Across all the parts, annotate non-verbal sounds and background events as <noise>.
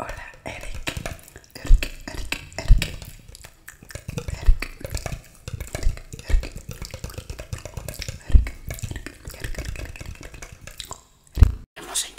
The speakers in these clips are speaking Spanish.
Hola, Eric. Eric,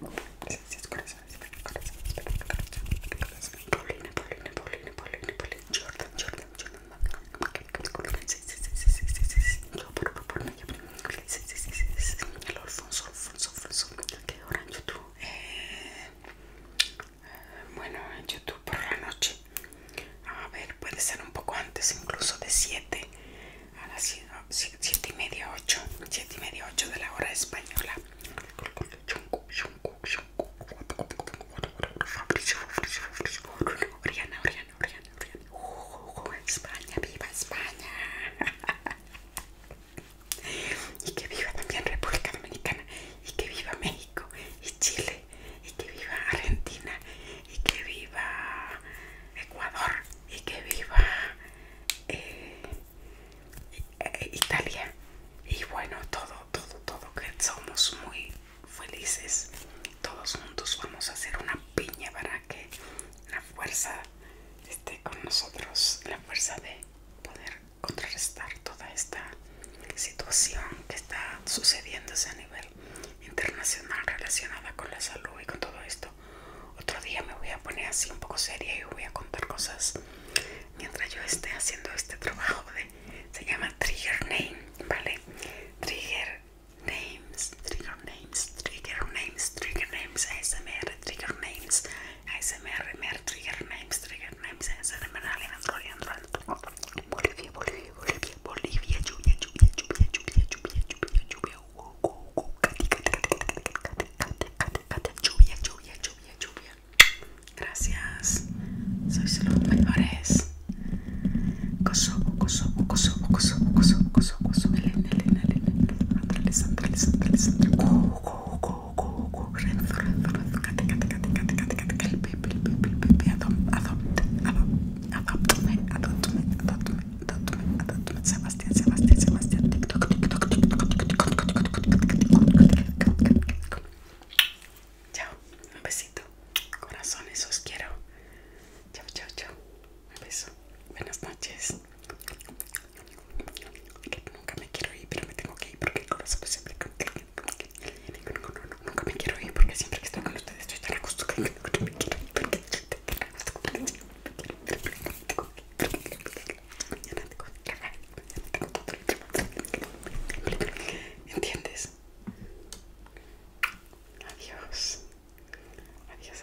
bueno, en YouTube por la noche, a ver, puede ser un poco antes, incluso de 7 a las 7 y media 8 7 y media 8 de la hora española Oriana, Oriana, Oriana, Oriana. Uh, España, viva España. <laughs> Y que viva también República Dominicana. Y que viva México. Y Chile. Y que viva Argentina y que viva Ecuador y que viva eh, eh, Italia y bueno todo todo todo que somos muy felices todos juntos vamos a hacer una piña para que la fuerza esté con nosotros la fuerza de poder contrarrestar toda esta situación que está sucediéndose a nivel internacional relacionada con la salud y con todo esto. Otro día me voy a poner así un poco seria y voy a contar cosas mientras yo esté haciendo este trabajo de se llama Trigger Name, ¿vale? Trigger Names, Trigger Names, Trigger Names, Trigger Names, ASMR, Trigger Names, ASMR, Trigger Names, Trigger Names, ASMR, Bolivia, Bolivia. Bolivia, Bolivia, lluvia, lluvia, lluvia, Gracias. los mejores. Kosovo, Kosovo, Kosovo, Kosovo, Kosovo, Kosovo, coso, Chao, un besito. Corazones, os quiero. Chao, chao, chao. Un beso. Buenas noches nunca me quiero ir, pero me tengo que ir porque el corazón siempre nunca me quiero ir porque siempre que estoy con ustedes estoy tan acostumbrado. que me quiero ir porque ¿entiendes? adiós, adiós.